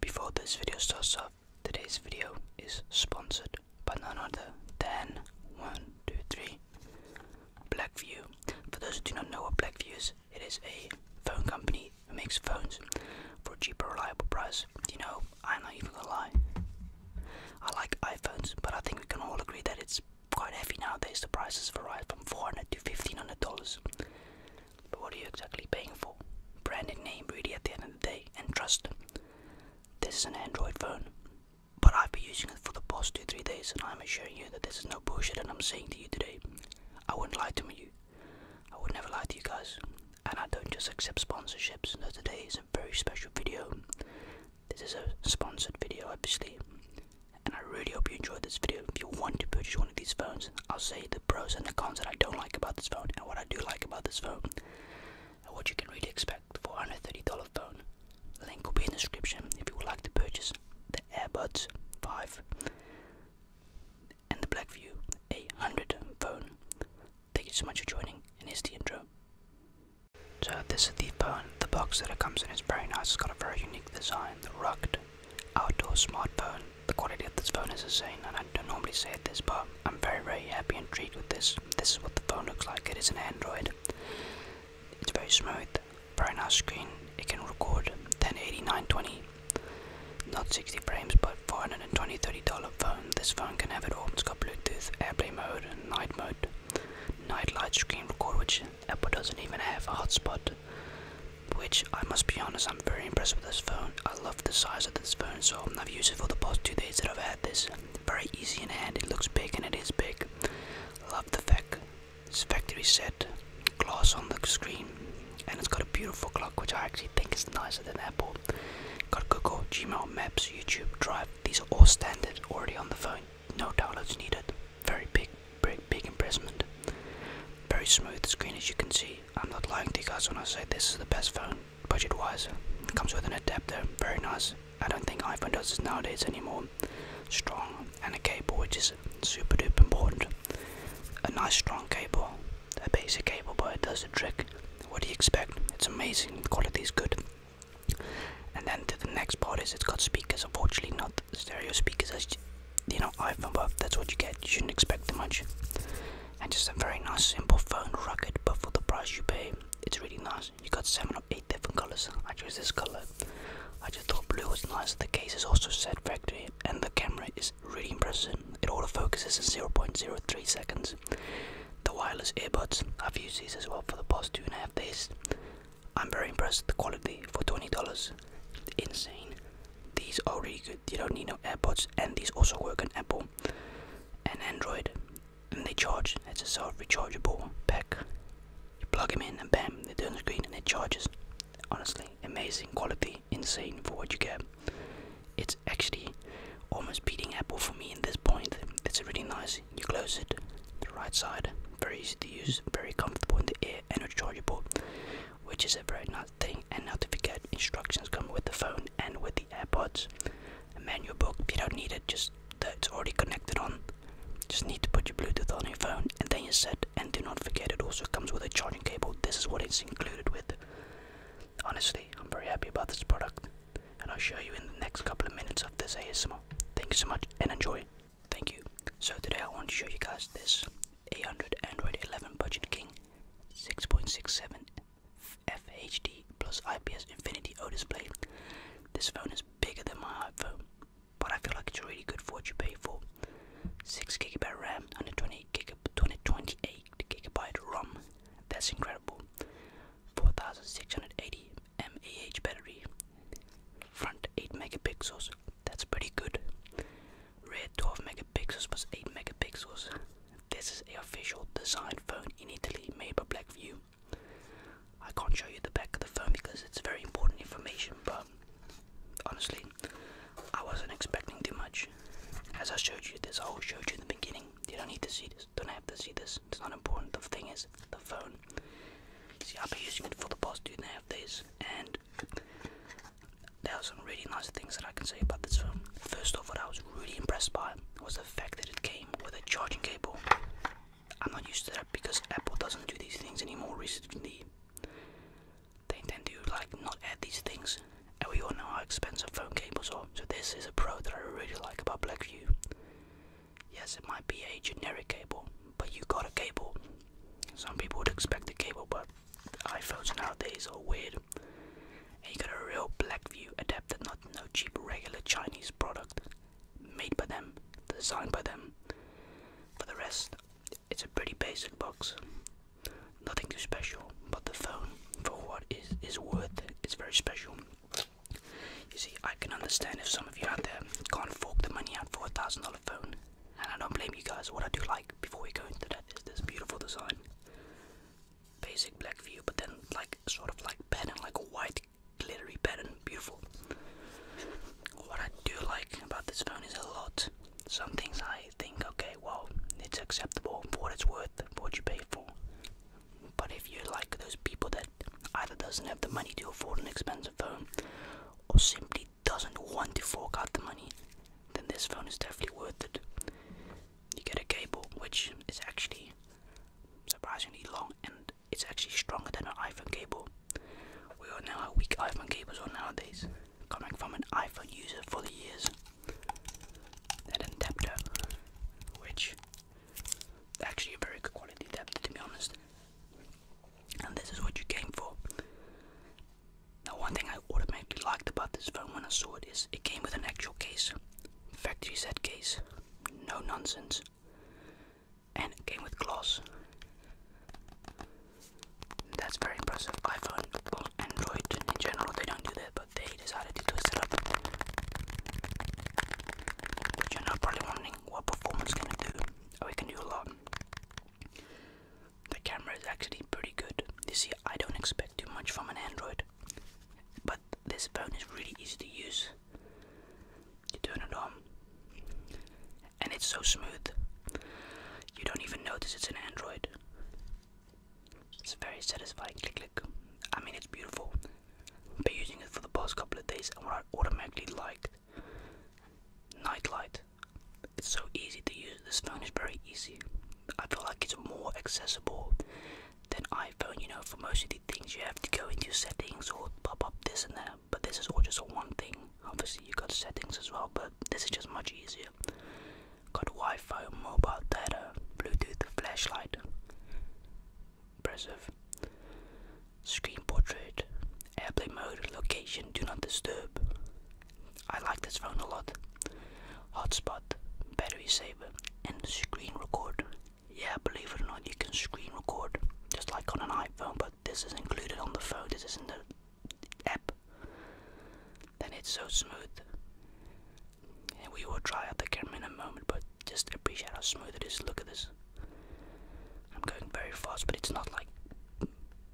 Before this video starts off, today's video is sponsored by none other than 123 Blackview. For those who do not know what Blackview is, it is a phone company that makes phones for a cheaper, reliable price. You know, I'm not even gonna lie. I like iPhones, but I think we can all agree that it's quite heavy nowadays. The prices vary from 400 to 1500 dollars. But what are you exactly paying for? Branded name, really, at the end of the day, and trust. This is an Android phone, but I've been using it for the past two, three days, and I'm assuring you that this is no bullshit. And I'm saying to you today, I wouldn't lie to you. I would never lie to you guys, and I don't just accept sponsorships. No, today is a very special video. This is a sponsored video, obviously, and I really hope you enjoyed this video. If you want to purchase one of these phones, I'll say the pros and the cons that I don't like about this phone and what I do like about this phone and what you can really expect for under $30 phone. Link will be in the description if you would like to purchase the AirBuds 5 and the Blackview A100 phone. Thank you so much for joining and here's the intro. So this is the phone. The box that it comes in is very nice. It's got a very unique design. The rugged outdoor smartphone the quality of this phone is insane, and I don't normally say this, but I'm very, very happy and intrigued with this. This is what the phone looks like. It is an Android. It's very smooth, very nice screen. It can record 1080, 920, not 60 frames, but 420, 30 dollar phone. This phone can have it all. It's got Bluetooth, AirPlay mode, night mode, night light screen record, which Apple doesn't even have a hotspot which I must be honest, I'm very impressed with this phone. I love the size of this phone, so I've used it for the past two days that I've had this. Very easy in hand, it looks big and it is big. Love the fact it's factory set, glass on the screen, and it's got a beautiful clock, which I actually think is nicer than Apple. Got Google, Gmail, Maps, YouTube, Drive. These are all standard already on the phone. No downloads needed. Very big, big, big impression. Very smooth screen, as you can see. I'm not lying to you guys when I say this is the best phone, budget-wise. It comes with an adapter, very nice. I don't think iPhone does this nowadays anymore. Strong and a cable, which is super duper important. A nice strong cable, a basic cable, but it does the trick. What do you expect? It's amazing. The quality is good. And then to the next part is it's got speakers. Unfortunately, not stereo speakers as you know iPhone, but that's what you get. You shouldn't expect too much and just a very nice simple phone rugged but for the price you pay it's really nice you got seven or eight different colors i chose this color i just thought blue was nice the case is also set factory and the camera is really impressive it auto focuses in 0.03 seconds the wireless earbuds i've used these as well for the past two and a half days i'm very impressed with the quality for $20 insane these are really good you don't need no airpods and these also work on apple and android and they charge it's a sort of rechargeable pack you plug them in and bam they turn the screen and it charges honestly amazing quality insane for what you get it's actually almost beating apple for me in this point it's really nice you close it the right side very easy to use very comfortable in the ear and rechargeable which is a very nice thing and not to forget instructions come with the phone and with the AirPods. A manual book, you don't need it, just that it's already connected on. Just need to put your Bluetooth on your phone and then you're set. And do not forget it also comes with a charging cable. This is what it's included with. Honestly, I'm very happy about this product and I'll show you in the next couple of minutes of this ASMR. Thank you so much and enjoy. Thank you. So today I want to show you guys this 800 Android 11 Budget King 6.67 FHD plus IPS Infinity O display. This phone is bigger than my iPhone, but I feel like it's really good for what you pay for. 6 gigabyte RAM, 128 gig, 128 gigabyte ROM. That's incredible. 4680 mAh battery. Front 8 megapixels. That's pretty good. Rear 12 megapixels plus 8 megapixels. This is the official design phone in Italy made by Blackview. I can't show you the back of the phone because it's very important information, but honestly, I wasn't expecting too much. As I showed you this, I showed you in the beginning. You don't need to see this, don't have to see this. It's not important. The thing is, the phone. See, I've been using it for the past two and a half days, and there are some really nice things that I can say about this phone. First off, what I was really impressed by was the fact that it came with a charging cable. I'm not used to that because Apple doesn't do these things anymore recently. They tend to like not add these things, and we all know how expensive phone cables are. So this is a pro that I really like about Blackview. Yes, it might be a generic cable, but you got a cable. Some people would expect a cable, but iPhones nowadays are weird. And you got a real black view adapted, not no cheap regular Chinese product made by them, designed by them. For the rest, it's a pretty basic box. Nothing too special, but the phone for what is is worth is very special. You see, I can understand if some of you out there can't fork the money out for a thousand dollar phone. And I don't blame you guys. What I do like before we go into that is this beautiful design basic black view, but then like sort of like pattern, like a white glittery pattern, beautiful. What I do like about this phone is a lot. Some things I think, okay, well, it's acceptable for what it's worth, for what you pay for. But if you're like those people that either doesn't have the money to afford an expensive phone, or simply doesn't want to fork out the money, then this phone is definitely worth it you get a cable which is actually surprisingly long and it's actually stronger than an iPhone cable. We all know how weak iPhone cables are nowadays. Coming from an iPhone user for the years. And an adapter, which actually a very good quality adapter to be honest. And this is what you came for. Now one thing I automatically liked about this phone when I saw it is it came with an actual case. Factory set case. No nonsense. And it came with gloss. That's very impressive. iPhone, well, Android in general, they don't do that, but they decided to twist it up. you're not probably wondering what performance can it do. Oh, it can do a lot the camera is actually pretty good. You see, I don't expect too much from an Android, but this phone is really easy to use. You turn it on, and it's so smooth. You don't even notice it's an Android. It's very satisfying. Click, click. I mean, it's beautiful. But using it for the past couple of days, and what I automatically liked light. It's so easy to use. This phone is very easy. I feel like it's more accessible than iPhone. You know, for most of the things you have to go into settings or pop up this and that. But this is all just one thing. Obviously, you got settings as well, but this is just much easier. Got Wi-Fi, mobile data, Bluetooth, flashlight. Impressive. Screen portrait, airplane mode, location, do not disturb. I like this phone a lot. Hotspot, battery saver, and screen record. Yeah, believe it or not, you can screen record just like on an iPhone, but this is included on the phone, this is in the app. Then it's so smooth. And we will try out the camera in a moment, but just appreciate how smooth it is. Look at this. I'm going very fast, but it's not like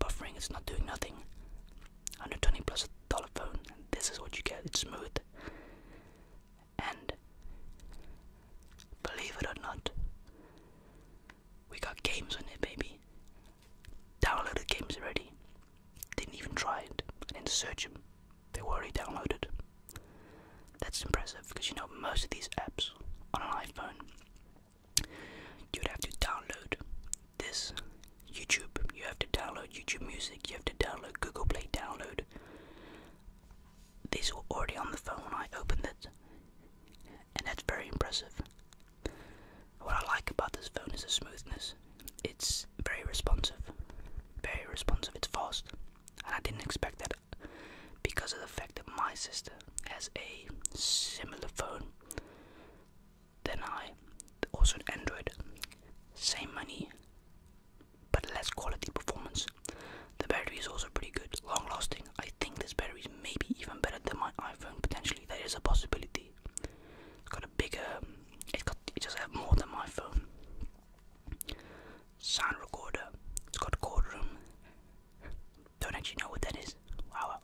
buffering, it's not doing nothing. 120 plus dollar phone. this is what you get. It's smooth. And believe it or not, we got games on it, baby. Downloaded games already. Didn't even try it. I didn't search them. They were already downloaded. That's impressive because you know most of these apps on an iPhone you'd have to download this YouTube. You have to download YouTube Music, you have to download Google Play Download. These were already on the phone I opened it, and that's very impressive. What I like about this phone is the smoothness. It's very responsive, very responsive, it's fast, and I didn't expect that because of the fact that my sister has a similar phone then I, also an Android, same money, but less quality performance. The battery is also pretty good, long lasting. I think this battery is maybe even better than my iPhone. Potentially, that is a possibility. It's got a bigger, it's got, it does have more than my phone. Sound recorder. It's got courtroom. Don't actually know what that is. Wow.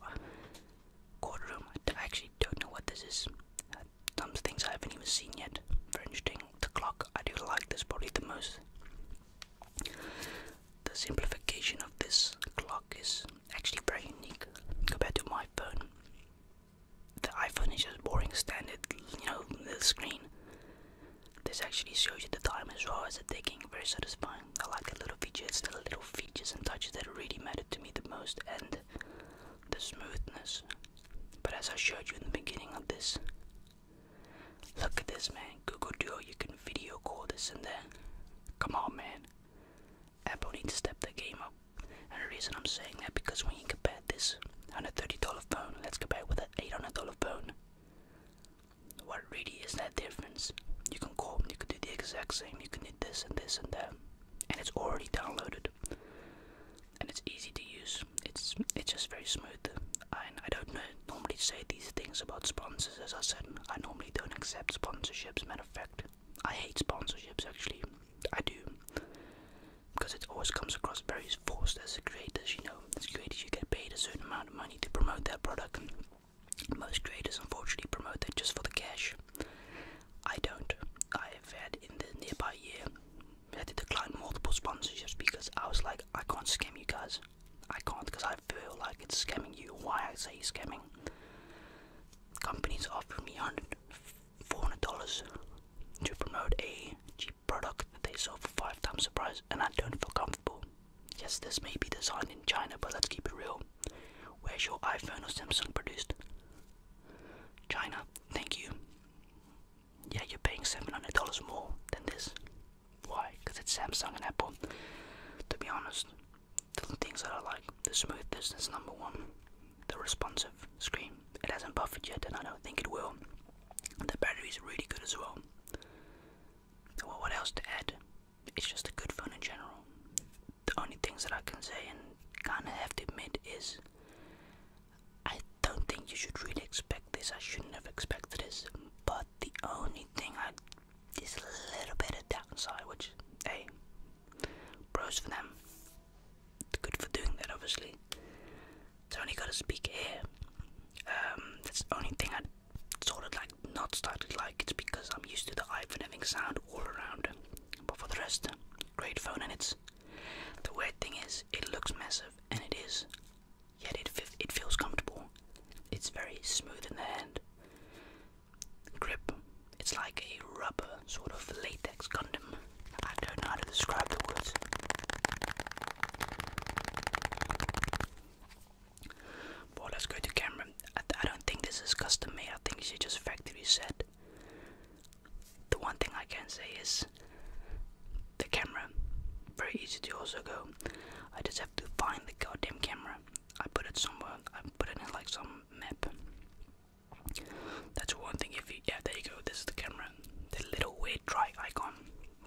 Courtroom. I actually don't know what this is some things I haven't even seen yet. Very interesting. The clock, I do like this probably the most. The simplification of this clock is actually very unique compared to my phone. The iPhone is just boring standard, you know, the screen. This actually shows you the time as well as the ticking, very satisfying. I like the little features, the little features and touches that really matter to me the most, and the smoothness. But as I showed you in the beginning of this, look at this, man. Google Duo, you can video call this and that. Come on, man. Apple needs to step the game up. And the reason I'm saying that because when you compare this $130 phone, let's compare with an $800 phone. What really is that difference? You can call, you can do the exact same, you can do this and this and that and it's already downloaded and it's easy to use. It's it's just very smooth. And I don't normally say these things about sponsors. As I said, I normally don't accept sponsorships. Matter of fact, I hate sponsorships. Actually, I do because it always comes across very forced as a creators. You know, as creators, you get paid a certain amount of money to promote their product. Most creators, unfortunately, promote it just for the cash. I don't. I've had in the nearby year I've had to decline multiple sponsors just because I was like, I can't scam you guys. I can't because I feel like it's scamming you. Why I say scamming? Companies offer me hundred, four hundred dollars to promote a cheap product that they sell for five times the price, and I don't feel comfortable. Yes, this may be designed in China, but let's keep it real. Where's your iPhone or Samsung produced? China, thank you. Yeah, you're paying $700 more than this. Why? Because it's Samsung and Apple. To be honest, the things that I like the smoothness is number one, the responsive screen. It hasn't buffered yet, and I don't think it will. The battery is really good as well. Well, what else to add? It's just a good phone in general the only things that I can say and kind of have to admit is I don't think you should really expect this. I shouldn't have expected this. But the only thing I is a little bit of downside, which hey, bros for them. Good for doing that, obviously. It's only got a speak here. Um, that's the only thing I sort of like not started like. It's because I'm used to the iPhone having sound all around. But for the rest, great phone, and it's the weird thing is it looks massive, and it is, yet it it feels comfortable. It's very smooth in the hand. Grip, it's like a rubber sort of latex condom. I don't know how to describe the words. Well, let's go to camera. I, don't think this is custom made. I think it's just factory set the one thing I can say is the camera. Very easy to also go. I just have to find the goddamn camera. I put it somewhere. I put it in like some map. That's one thing. If you yeah, there you go. This is the camera. The little weird dry icon.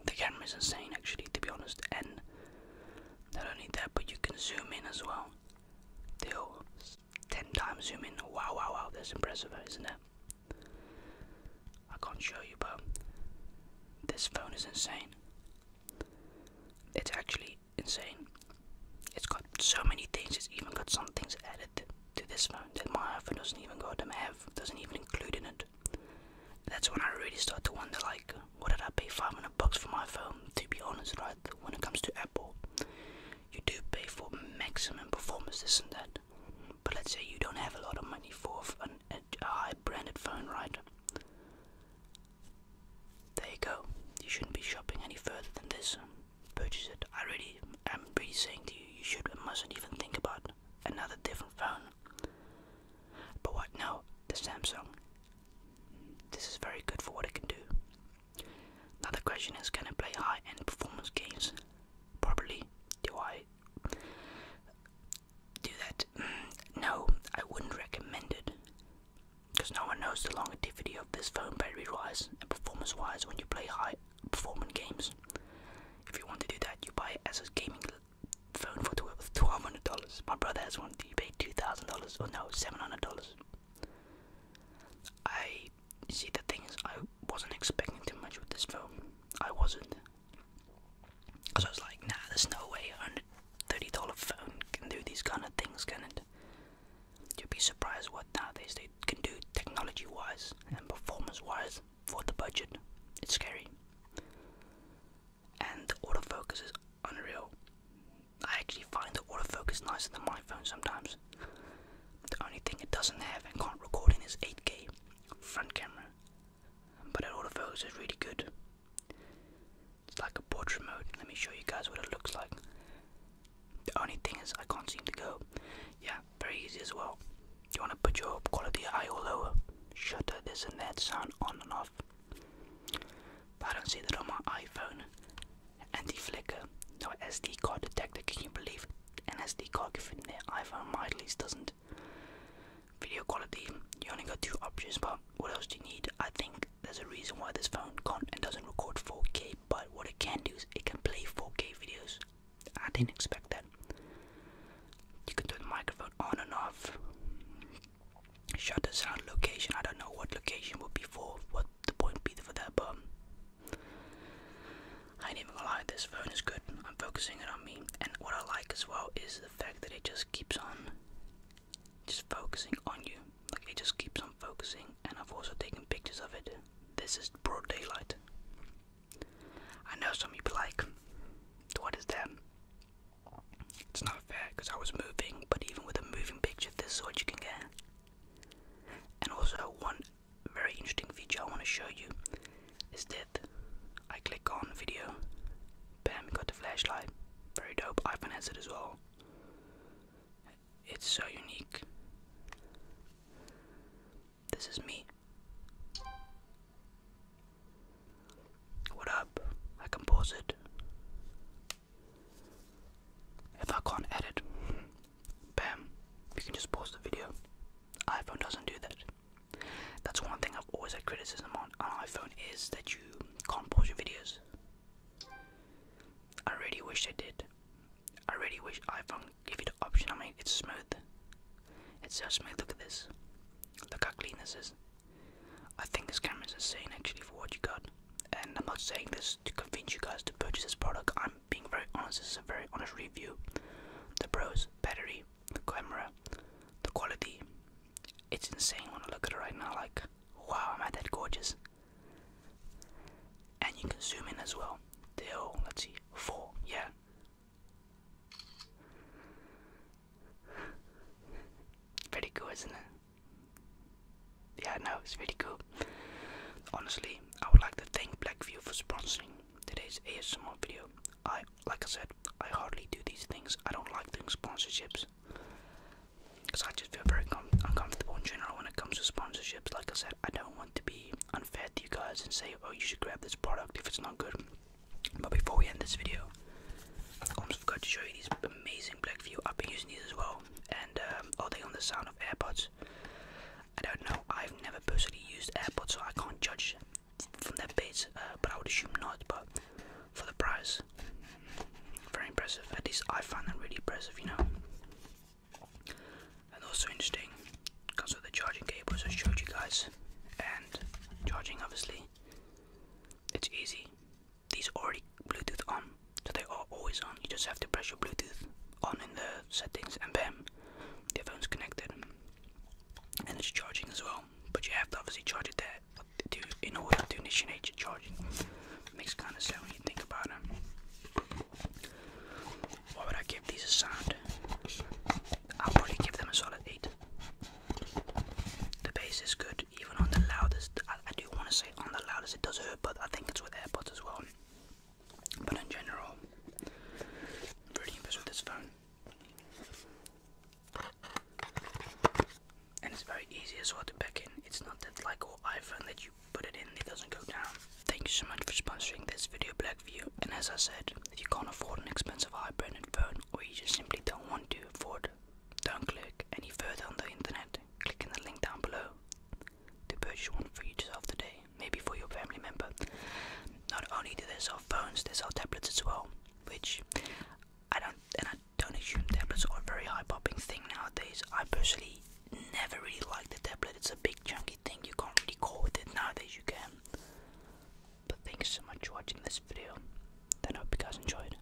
The camera is insane, actually, to be honest. And not only that, but you can zoom in as well. Still 10 times zooming. Wow, wow, wow, that's impressive, isn't it? I can't show you, but this phone is insane. It's actually insane. It's got so many things, it's even got some things added to this phone that my iPhone doesn't even got them have, doesn't even include in it. That's when I really start to wonder, like, why did I pay 500 bucks for my phone? To be honest, right, when it comes to Apple, you do pay for maximum performance, this and that. But let's say you don't have a lot of money for a high branded phone, right? There you go. You shouldn't be shopping any further than this. Purchase it. I really, I'm really saying to you, you should and mustn't even think about another different phone. But what? No, the Samsung. This is very good for what it can do. Now the question is, can I play high-end performance games properly? Do I do that? Mm, no, I wouldn't recommend it. Because no one knows the longevity of this phone battery-wise and performance-wise when you play high-performance games. If you want to do that, you buy it as a gaming phone for twelve hundred dollars. My brother has one. He paid two thousand dollars, or oh, no, seven hundred dollars. I see, see the thing is, I wasn't expecting too much with this phone. I wasn't. Cause I was like, nah, there's no way a $130 phone can do these kind of things, can it? You'd be surprised what nowadays they can do technology-wise and performance-wise for the budget. It's scary. And the autofocus is unreal. I actually find the autofocus nicer than my phone sometimes. The only thing it doesn't have and can't record in is 8K front camera, but it autofocus is really good. It's like a portrait mode. Let me show you guys what it looks like. The only thing is I can't seem to go. Yeah, very easy as well. You want to put your quality high or lower, shutter, this and that, sound on and off. I don't see that on my iPhone. Anti-flicker, no SD card detector, can you believe an SD card in the iPhone, my at least doesn't. Video quality, you only got two options, but what else do you need? I think there's a reason why this phone can't and doesn't record 4K, but what it can do is it can play 4K videos. I didn't expect that. You can turn the microphone on and off. Shutter sound location, I don't know what location would be for, what the point be for that, but I ain't even gonna lie, this phone is good. I'm focusing it on me, and what I like as well is the fact that it just keeps on just focusing on you. Like it just keeps on focusing, and I've also taken pictures of it. This is broad daylight. I know some of you be like, what is that? It's not fair because I was moving, but even with a moving picture, this is what you can get. And also one very interesting feature I want to show you is that I click on video, bam, got the flashlight. Very dope. iPhone has it as well. It's so unique. This is me. What up? I can pause it. If I can't edit, bam, you can just pause the video. iPhone doesn't do that. That's one thing I've always had criticism on iPhone is that you can't pause your videos. I really wish they did. I really wish iPhone gave you the option. I mean, it's smooth. It's so smooth. Look at this. Look how clean this is. I think this camera is insane actually for what you got. And I'm not saying this to convince you guys to purchase this product. I'm being very honest, this is a very honest review. The pros, battery, the camera, the quality. It's insane when I look at it right now, like, wow, am I that gorgeous? And you can zoom in as well. Till, let's see, four, yeah. Pretty cool, isn't it? yeah, no, it's really cool. Honestly, I would like to thank Blackview for sponsoring today's ASMR video. I, like I said, I hardly do these things. I don't like doing sponsorships because I just feel very uncomfortable in general when it comes to sponsorships. Like I said, I don't want to be unfair to you guys and say, oh, you should grab this product if it's not good. But before we end this video, I almost forgot to show you these amazing Blackview. I've been using these as well, are uh, oh, they on the sound of AirPods? I don't know. I've never personally used AirPods, so I can't judge from that bit. Uh, but I would assume not. But for the price, very impressive. At least I find them really impressive, you know. And also interesting because of the charging cables I showed you guys, and charging obviously. It's easy. These already Bluetooth on, so they are always on. You just have to press your Bluetooth on in the settings and bam, the phone's connected. And it's charging as well. But you have to obviously charge it there in order to initiate your charging. Makes kind of sense when you think about it. Why would I give these a sound? I'll probably give them a solid 8. The bass is good, even on the loudest. I, I do want to say on the loudest it does hurt, but I think it's with AirPods as well. But in general, pretty impressed with this phone. And it's very easy as well to back in. It's not that like all oh, iPhone that you put it in, it doesn't go down. Thank you so much for sponsoring this video, Blackview. And as I said, if you can't afford an expensive high-branded phone or you just simply don't want to afford, it, don't click any further on the internet. Click in the link down below to purchase one for yourself today, maybe for your family member. Not only do they sell phones, they sell tablets as well, which I don't and I don't assume tablets are a very high popping thing nowadays. I personally never really like the tablet. It's a big chunky thing. You can't really call with it nowadays. You can. But thanks so much for watching this video. Then I hope you guys enjoyed.